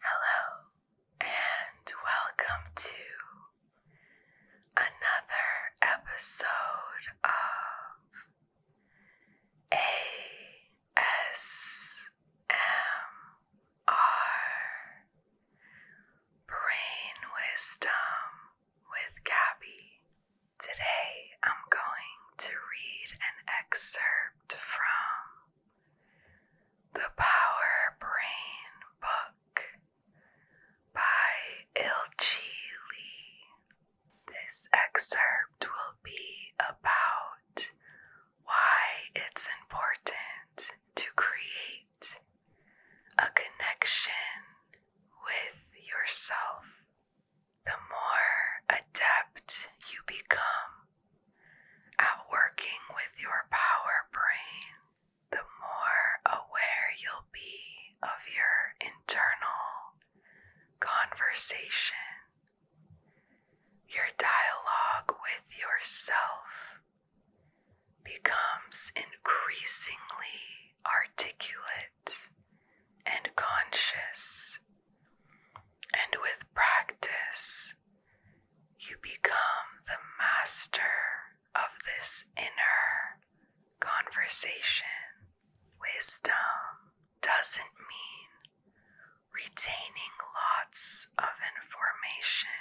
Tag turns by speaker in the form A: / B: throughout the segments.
A: Hello, and welcome to another episode of ASMR Brain Wisdom with Gabby. Today I'm going to read an excerpt from the Power Brain Book by Ilchi Lee. This excerpt will be about why it's important to create a connection with yourself. The more adept you become Outworking with your power brain, the more aware you'll be of your internal conversation, your dialogue with yourself becomes increasingly articulate and conscious. And with practice, you become the master of this inner conversation. Wisdom doesn't mean retaining lots of information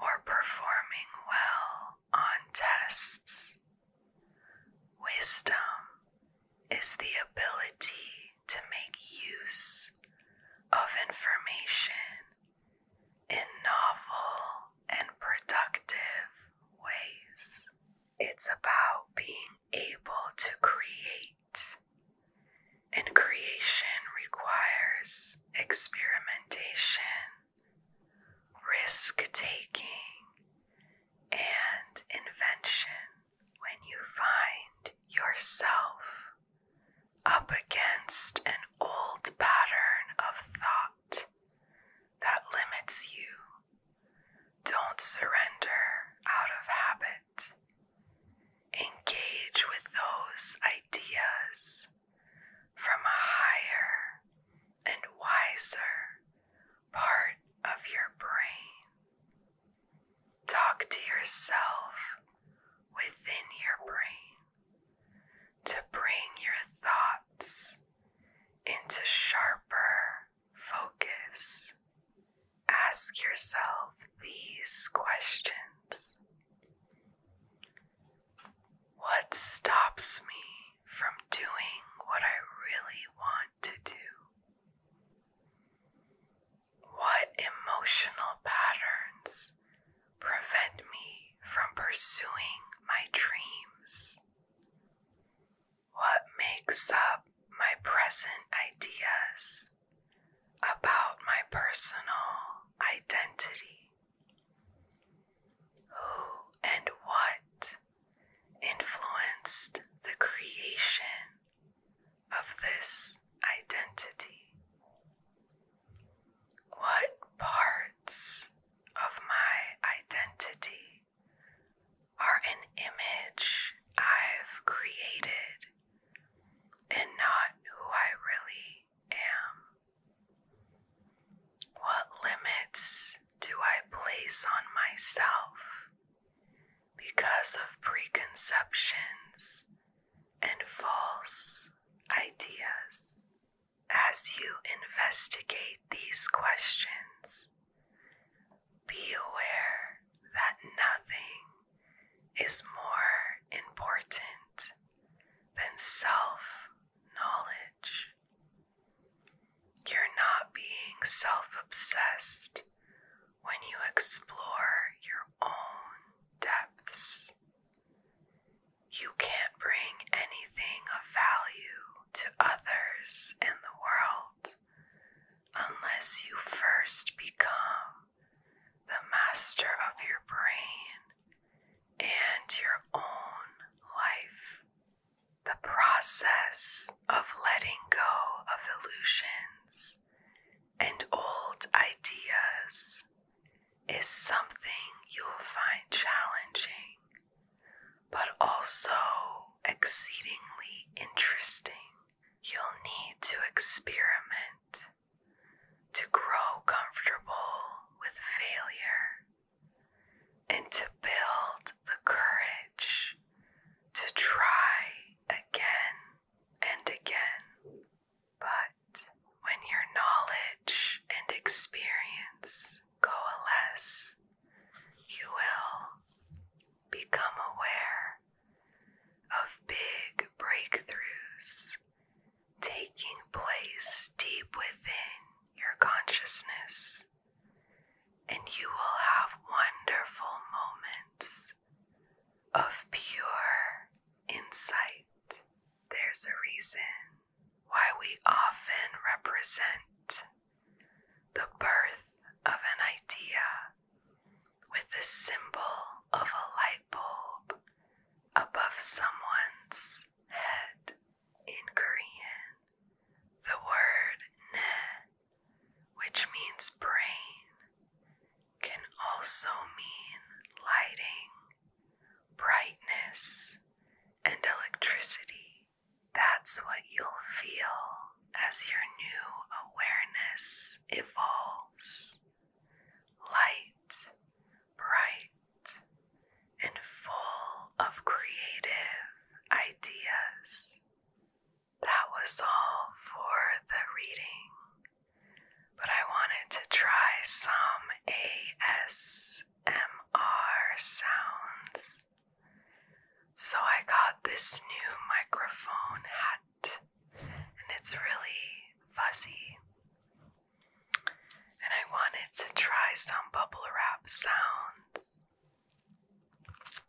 A: or performing well on tests. Wisdom is the ability to make use of information in novel and productive ways. It's about being able to create, and creation requires experimentation, risk taking, and invention when you find yourself up against an old pattern of thought that limits you, don't surrender out of habit. Engage with those ideas from a higher and wiser part of your brain. Talk to yourself within your brain to bring your thoughts into sharper focus. Ask yourself these questions What stops me from doing what I really want to do? What emotional patterns prevent me from pursuing my dreams? What makes up my present ideas about my personal identity? Who and what influenced the creation of this identity? What parts of my identity are an image I've created and not who I really am? What limits do I place on myself because of preconceptions and false ideas. As you investigate these questions, be aware that nothing is more important than self knowledge. You're not being self obsessed when you explore your own depths. You can't bring anything of value to others and the world unless you first become the master of your brain and your own life. The process of letting go of illusions and old ideas is something you'll find challenging, but also exceedingly interesting. You'll need to experiment to grow comfortable with failure and to build the courage to try again and again. But when your knowledge and experience coalesce, you will become aware of big breakthroughs taking place deep within your consciousness, and you will have wonderful moments of pure insight. There's a reason why we often represent the birth of an idea with the symbol of a light bulb above someone's head. In Korean, the word ne which means brain, can also mean lighting, brightness, and electricity. That's what you'll feel as your new awareness evolves. Light, bright, and full of creative ideas that was all for the reading, but I wanted to try some ASMR sounds. So I got this new microphone hat, and it's really fuzzy. And I wanted to try some bubble wrap sounds.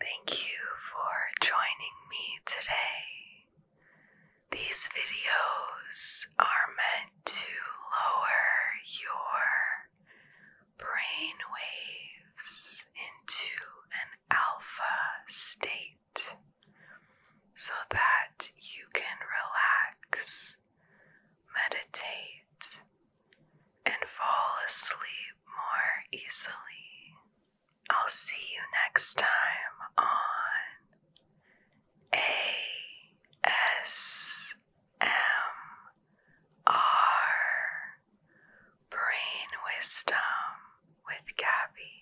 A: Thank you for joining me today. These videos are meant to lower your brain waves into an alpha state so that you can relax, meditate, and fall asleep more easily. I'll see you next time on ASMR Brain Wisdom with Gabby.